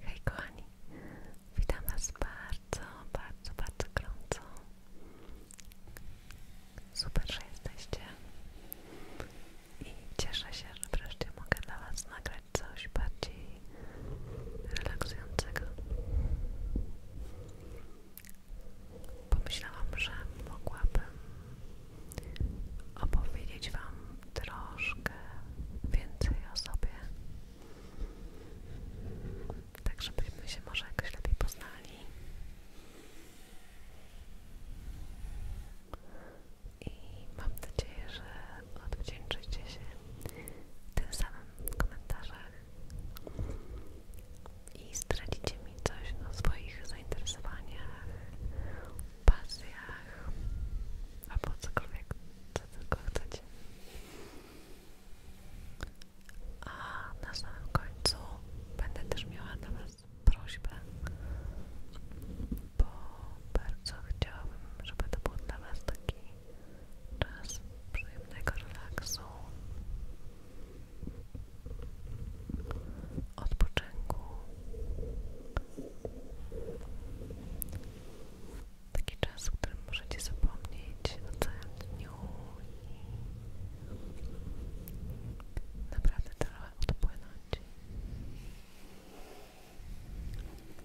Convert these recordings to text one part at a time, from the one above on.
Hej kochani, witam Was bardzo, bardzo, bardzo gorąco. Super, że i cieszę się, że wreszcie mogę dla Was nagrać coś bardziej relaksującego. Pomyślałam, że mogłabym opowiedzieć Wam troszkę więcej o sobie. Tak, żebyśmy się może jakoś lepiej poznali. I mam nadzieję, że odwdzięczycie się tym samym w komentarzach i zdradzicie mi coś na swoich zainteresowaniach, pasjach albo cokolwiek, co tylko chcecie. A na samym końcu będę też miała dla Was prośbę, bo bardzo chciałabym, żeby to był dla Was taki czas przyjemnego relaksu odpoczynku. Taki czas, w którym możecie zapomnieć na całym dniu i naprawdę trochę odpłynąć.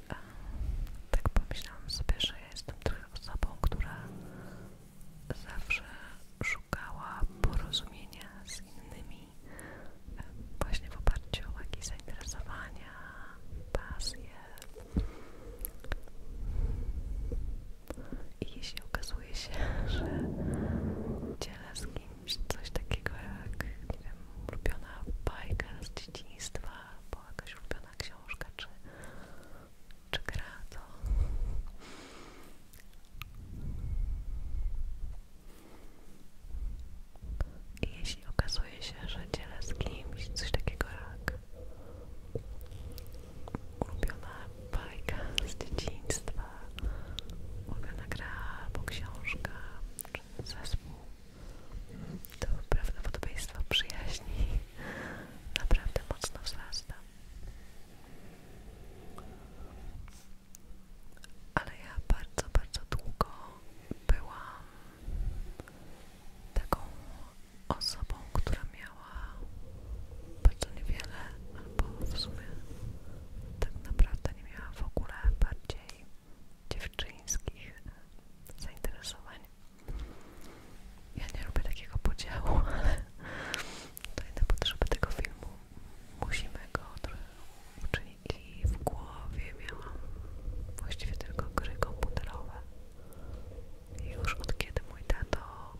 A tak pomyślałam sobie, że ja jestem trochę osobą, która zawsze szukała porozumienia z innymi właśnie w oparciu o jakieś zainteresowania, pasje. I jeśli okazuje się, że dzielę z kimś coś takiego jak, nie wiem, ulubiona bajka z dzieciństwa, albo jakaś ulubiona książka, czy, czy gra, to jeśli okazuje się, że dzielę z kimś coś takiego jak ulubiona bajka z dzieciństwa, ulubiona gra albo książka, czy zespół, to prawdopodobieństwo przyjaźni naprawdę mocno wzrasta ale ja bardzo, bardzo długo byłam taką osobą, która miała bardzo niewiele, albo w sumie tak naprawdę nie miała w ogóle bardziej dziewczyńskich zainteresowań. Ja nie lubię takiego podziału, ale to inne potrzeby tego filmu. Musimy go trochę uczynić i w głowie miałam właściwie tylko gry komputerowe. już od kiedy mój tato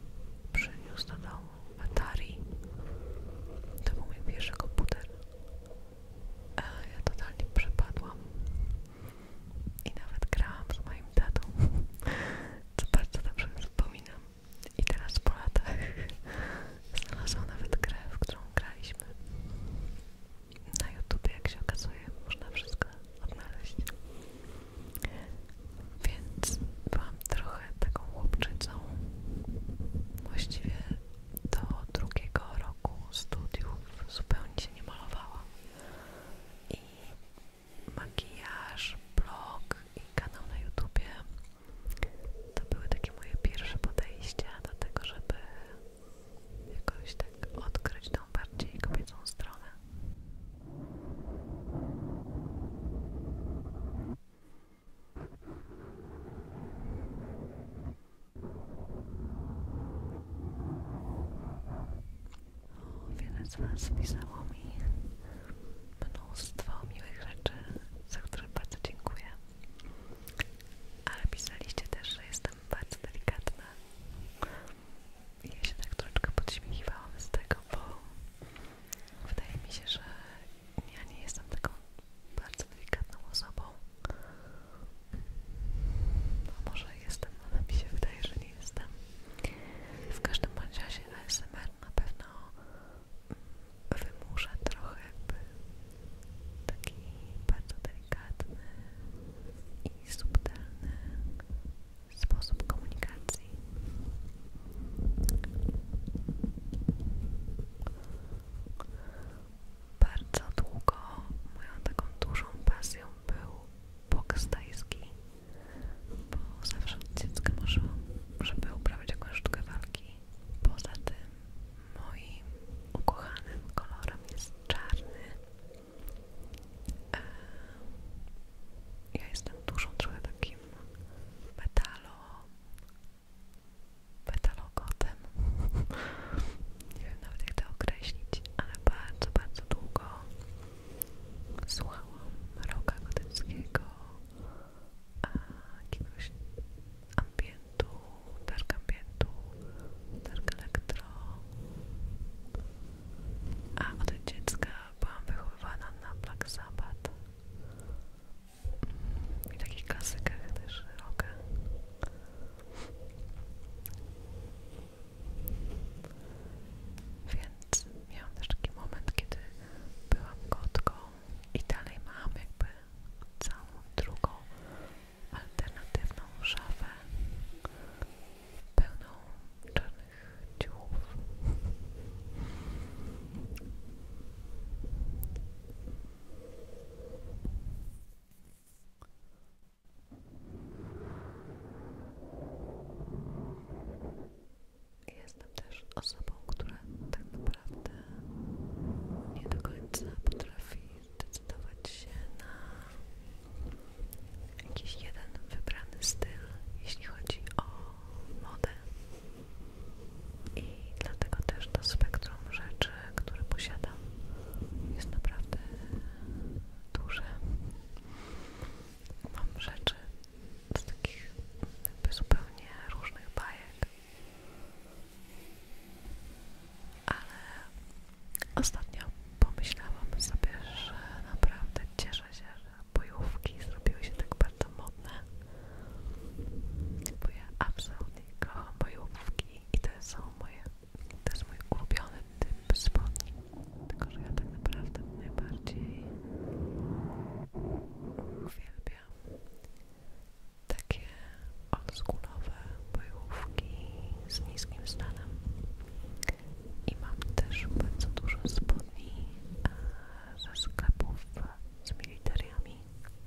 przyniósł do domu Atari, to był mój pierwszy komputer. Ja totalnie przepadłam i nawet grałam z moim tatą, co bardzo dobrze wspominam. I teraz po latach znalazłam nawet grę, w którą graliśmy. Na YouTube, jak się okazuje, można wszystko odnaleźć. Więc byłam trochę taką chłopczycą. Właściwie do drugiego roku studiów zupełnie się nie malowałam. I makijaż, blog i kanał na youtube to były takie moje pierwsze podejście do tego, żeby jakoś tak odkryć tą bardziej kobiecą stronę. O, wiele z Was pisało mi mnóstwo miłych rzeczy, za które bardzo dziękuję. Ale pisaliście też, że jestem bardzo delikatna. Ja się tak troszeczkę podśmiechiwałam z tego, bo wydaje mi się, że ja nie jestem taką bardzo delikatną osobą. A no, może jestem, ale mi się wydaje, że nie jestem. W każdym bądź razie ASMR na pewno wymusza trochę by taki bardzo delikatny i subtelny sposób komunikacji. Bardzo długo moją taką dużą pasją był boks tajski, bo zawsze od dziecka marzyłam, żeby uprawiać jakąś sztukę walki poza tym moim ukochanym kolorem jest czarny. E, ja jestem dużą trochę takim metalo, metalogotem. Nie wiem nawet jak to określić, ale bardzo, bardzo długo słuchałam rocka gotyckiego jakiegoś ambientu, dark ambientu, dark elektro. A od dziecka byłam wychowywana na Black Sabbath i takich klasykach też rocka. Więc miałam też taki moment, kiedy byłam kotką i dalej mamy jakby całą drugą alternatywną szafę pełną czarnych ciuchów. Jestem też osobą, która tak naprawdę nie do końca potrafi zdecydować się na jakiś jeden wybrany styl, jeśli chodzi o modę. I dlatego też to spektrum rzeczy, które posiadam, jest naprawdę duże. Mam rzeczy z takich jakby zupełnie różnych bajek. Ale ostatnio pomyślałam sobie, że naprawdę cieszę się, że bojówki zrobiły się tak bardzo modne. Bo absolutnie kocham bojówki i to są moje, to jest mój ulubiony typ spodni. Tylko, że ja tak naprawdę najbardziej uwielbiam takie oldschoolowe bojówki z niskim stanem i mam też bardzo dużo spodni e, ze sklepów z militariami,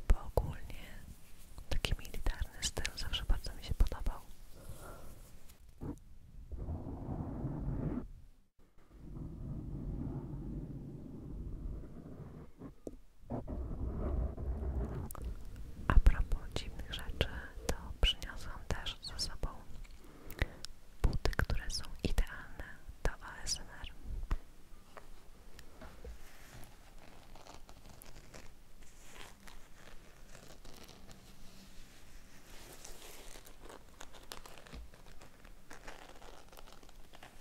bo ogólnie taki militarny styl zawsze bardzo mi się podobał. A propos dziwnych rzeczy, to przyniosłam też ze sobą buty, które są idealne do ASMR.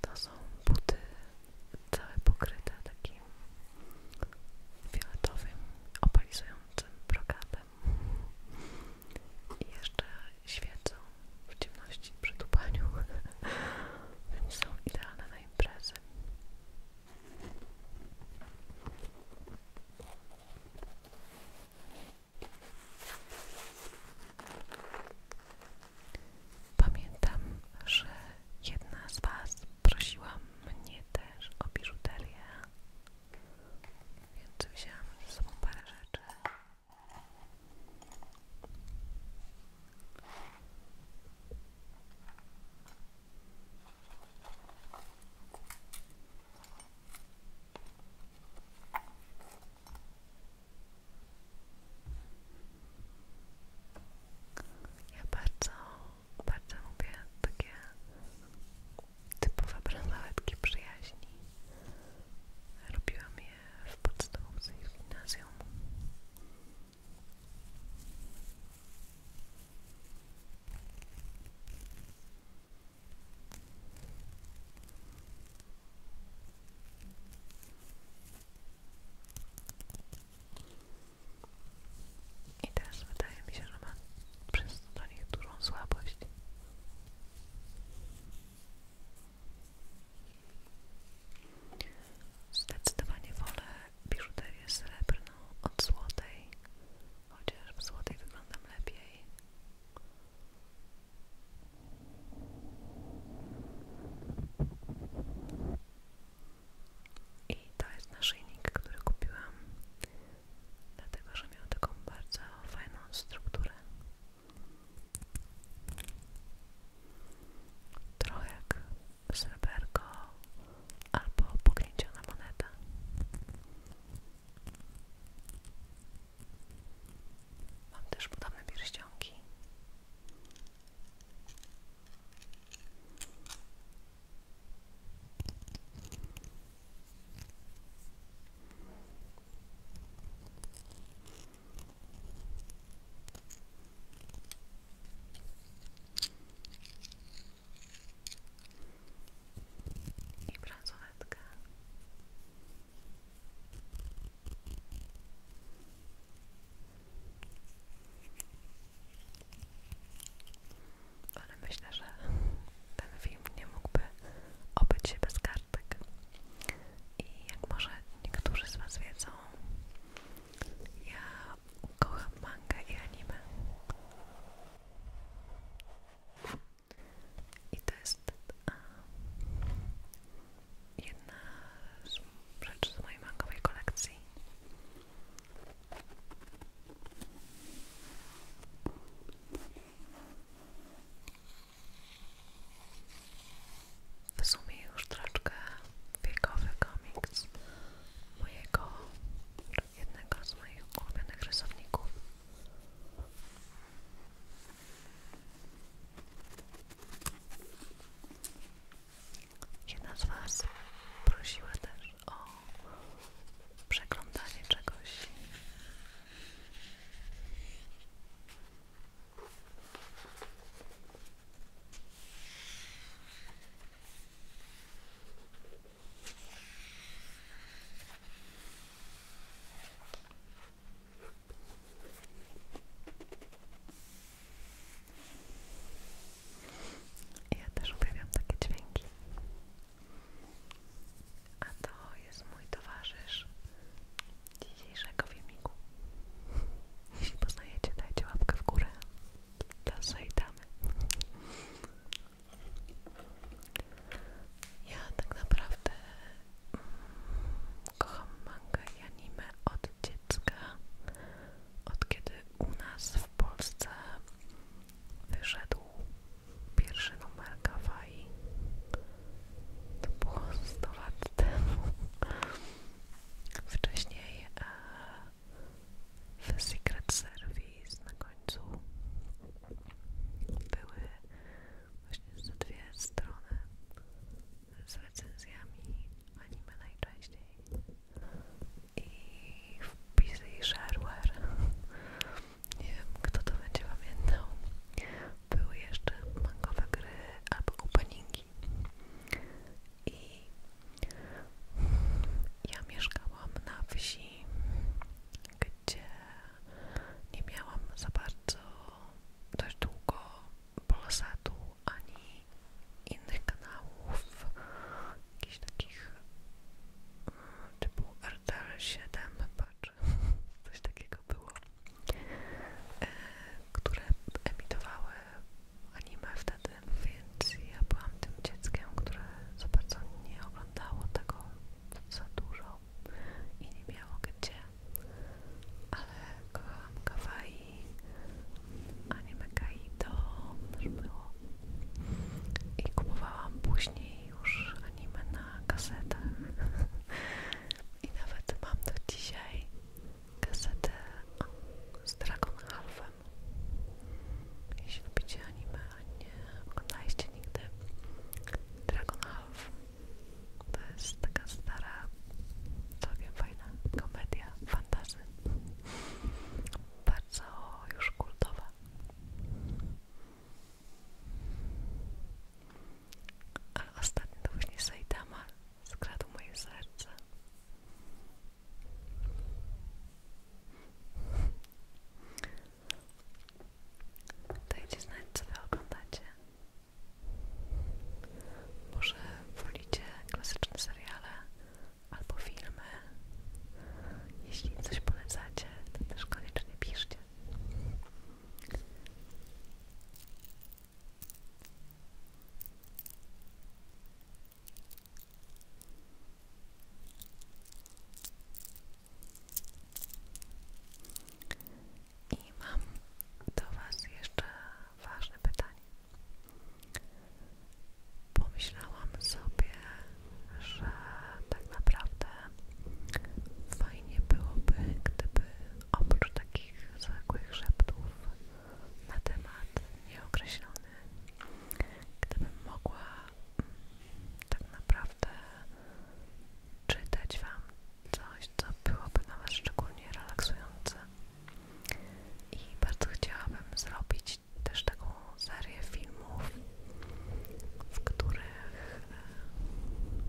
To są buty całe pokryte takim fioletowym, opalizującym brokatem lampem. I jeszcze świecą w ciemności przy tupaniu, więc są idealne na imprezy. Pamiętam, że jedna z Was prosiła mnie też o biżuterię więc wzięłam ze parę rzeczy. Ja bardzo, bardzo lubię takie brama bransoletki przyjaźni. Robiłam je w podstawówce i gimnazjum. I teraz wydaje mi się, że mam przez to do nich dużą słabość. Zdecydowanie wolę biżuterię srebrną od złotej, chociaż w złotej wyglądam lepiej. I to jest naszyjnik, który kupiłam dlatego, że miał taką bardzo fajną strukturę. Trochę jak sreberko albo pognieciona moneta. Mam też podobne pierścionki. I bransoletkę ale myślę, że ten film nie mógłby obyć się bez kartek. I jak może niektórzy z Was wiedzą, ja kocham manga i anime. I to jest a, jedna z rzeczy z mojej mangowej kolekcji. W sumie już troszeczkę wiekowy komiks mojego, jednego z moich ulubionych rysowników. Jedna z Was prosiła też, też o przeglądanie czegoś. Ja też uwielbiam takie dźwięki. A to jest mój towarzysz dzisiejszego filmiku. Jeśli poznajecie, dajcie łapkę w górę. Dla damy. Ja tak naprawdę mm, kocham mangę i anime od dziecka. Od kiedy u nas w Polsce wyszedł pierwszy numer Kawaii. To było 100 lat temu. Wcześniej e, w Secret Service na końcu były właśnie ze dwie strony z recenzjami anime najczęściej i wpisy i shareware. Nie wiem, kto to będzie pamiętał. Były jeszcze mangowe gry albo openingi. I ja mieszkałam na wsi, gdzie nie miałam za bardzo dość długo polsatu ani innych kanałów jakichś takich e, typu RTL7 chyba, czy coś takiego było, e, które emitowały anime wtedy, więc ja byłam tym dzieckiem, które za bardzo nie oglądało tego za dużo i nie miało gdzie, ale kochałam kawaii, anime Kaido też było i kupowałam później już anime na kasetach i nawet mam do dzisiaj kasetę z Dragon Halfem jeśli lubicie anime, a nie oglądaliście nigdy Dragon Half to jest taka stara, całkiem fajna komedia fantazy bardzo już kultowe. A ostatnio to właśnie Saitama skradł moje serce. Dajcie znać, co wy oglądacie. Może wolicie klasyczne seriale, albo filmy. Jeśli coś polecacie, to też koniecznie piszcie. I mam do Was jeszcze ważne pytanie pomyślałam sobie, że tak naprawdę fajnie byłoby, gdyby oprócz takich zwykłych szeptów na temat nieokreślony, gdybym mogła mm, tak naprawdę czytać Wam coś, co byłoby dla Was szczególnie relaksujące. I bardzo chciałabym zrobić też taką serię filmów, w których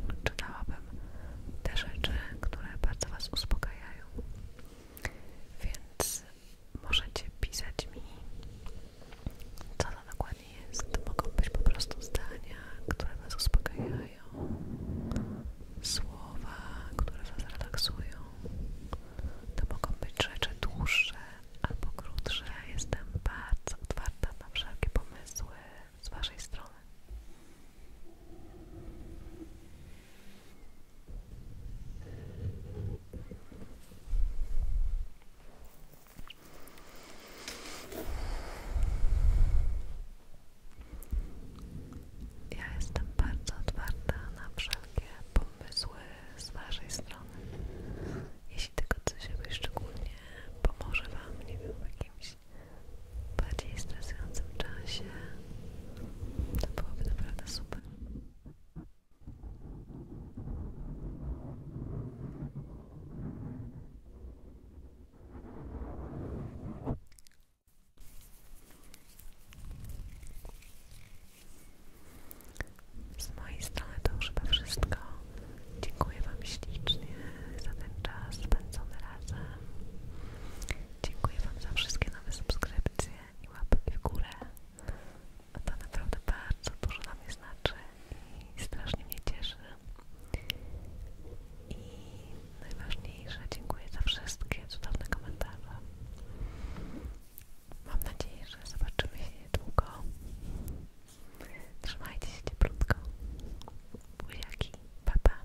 e, czytałabym te rzeczy, które bardzo Was uspokajają. Więc możecie pisać mi, co to dokładnie jest. Mogą być po prostu zdania, które Was uspokajają, słowa, które Was relaksują. To mogą być rzeczy dłuższe albo krótsze. Jestem bardzo otwarta na wszelkie pomysły z Waszej strony. Ja jestem bardzo otwarta na wszelkie pomysły pomysły z Waszej strony. Jeśli tylko coś jakby szczególnie pomoże Wam, nie wiem, w jakimś bardziej stresującym czasie, to byłoby naprawdę super. Z mojej strony to już chyba wszystko. Dziękuję Wam ślicznie za ten czas spędzony razem. Dziękuję Wam za wszystkie nowe subskrypcje i łapki w górę. A to naprawdę bardzo dużo dla mnie znaczy i strasznie mnie cieszy. I najważniejsze, dziękuję za wszystkie cudowne komentarze. Mam nadzieję, że zobaczymy się niedługo. Trzymajcie się cieplutko. Buziaki, pa